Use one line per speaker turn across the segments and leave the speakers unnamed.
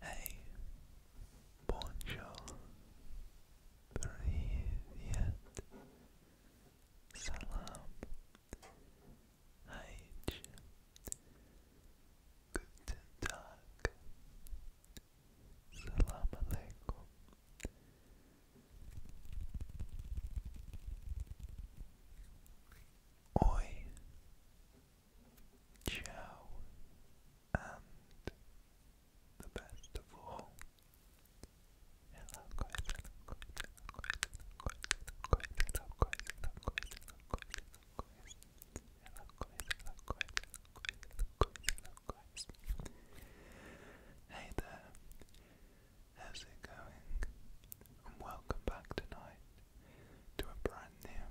Hey, bonjour, привет, salam, H, guten Tag, Salam alaikum. Oi. Ciao. And the best of all. Hey there, how's it going? welcome back tonight to a brand new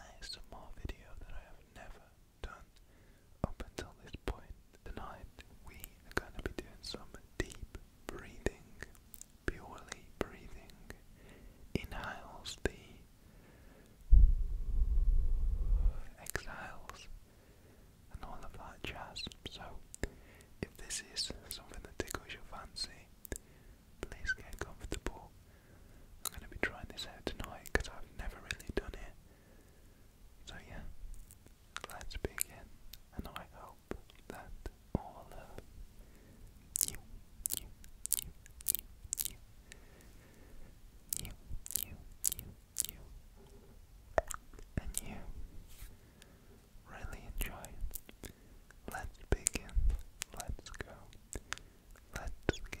ASMR video that I have never done up until this point. Tonight we are going to be doing some deep breathing, purely breathing. Inhales the exiles, and all of that jazz. So, if this is something that tickles your fancy, please get comfortable. I'm going to be trying this out tonight because I've never really done it. So, yeah, let's begin, and I hope that all of you, you, you, you. And you. Really enjoy Let's begin. Let's go. Let's get.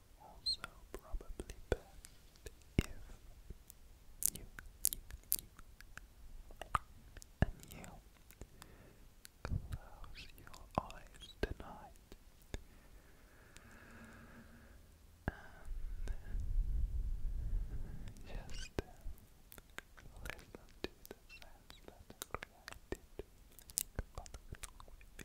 also probably best if you, you, you, and you close your eyes tonight and just uh, listen to the sounds that are created by the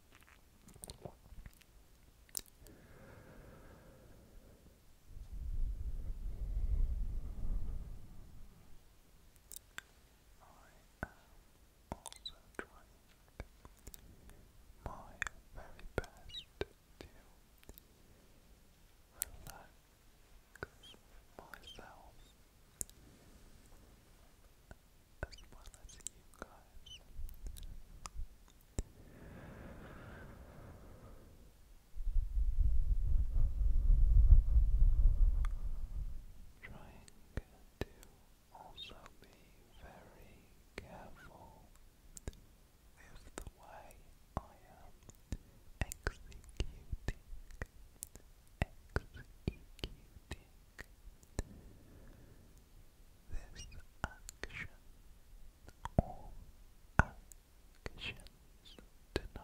I am also trying my very best to relax myself as well as you guys. Trying to also be very careful with the way I am executing, this action all occasions tonight.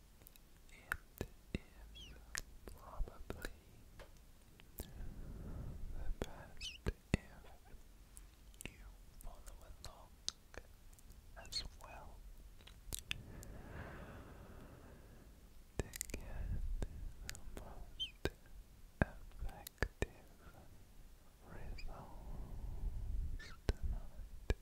It is probably the best if you follow along as well to get the most effective results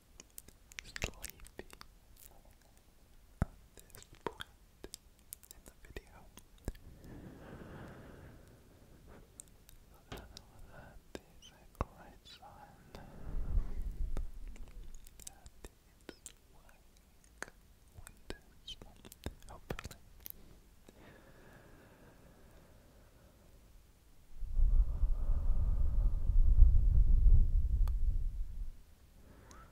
sleepy at this point in the video. So that is a great sign that it's working wonders, hopefully. Thank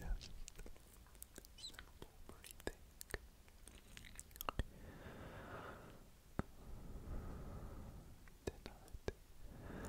Yes. Simple breathing. Tonight. Tonight.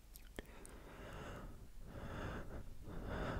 Feel free like a bird.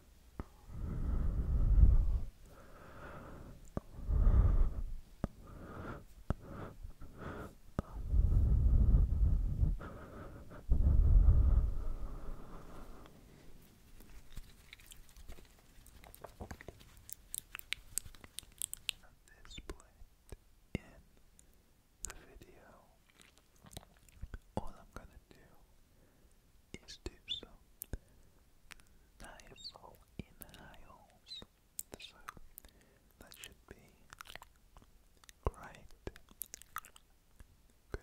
this played in the video all I'm gonna do is do some nice inhales, so that should be great. Good.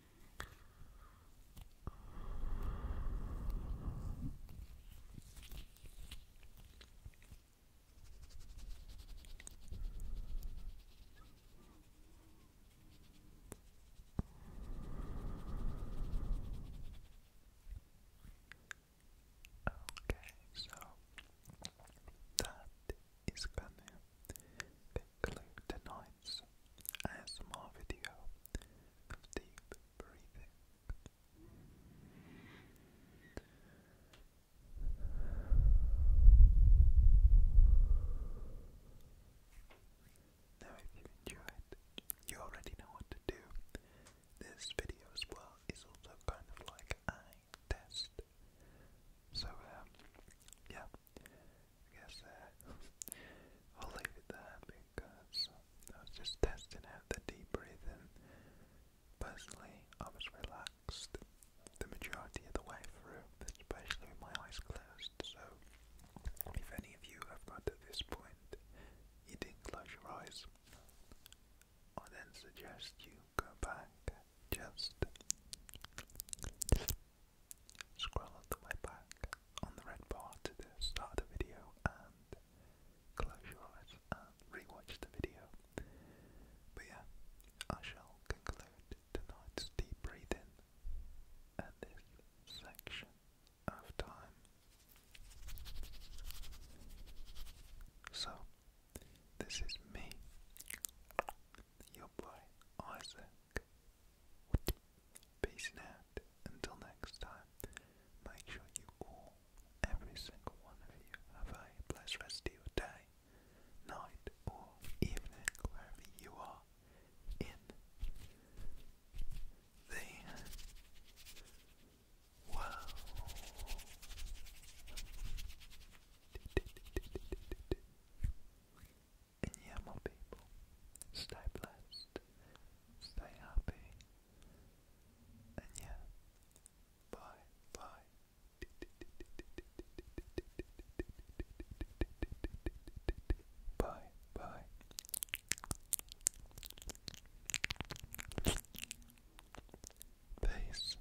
Okay, so that is gonna conclude tonight's ASMR video of deep breathing. Now if you enjoyed, you already know what to do. This video as well is also kind of like a test. So um, yeah, I I'll leave it there because uh, I was just testing out the deep breathing. Personally, I was relaxed the majority of the way through, especially with my eyes closed. So, if any of you have got to this point, you didn't close your eyes, I then suggest you go back just Scroll all the back on the red bar to start the video and close your eyes and rewatch the video. But yeah, I shall conclude tonight's deep breathing at this section of time. So, this is me, your boy Isaac. Peace out. Until next time, make sure you all, every single one of you, have a blessed rest of your day, night, or evening, wherever you are in the world. And yeah, my people, stay blessed, stay happy, and yeah, bye, bye. Bye, bye. Peace.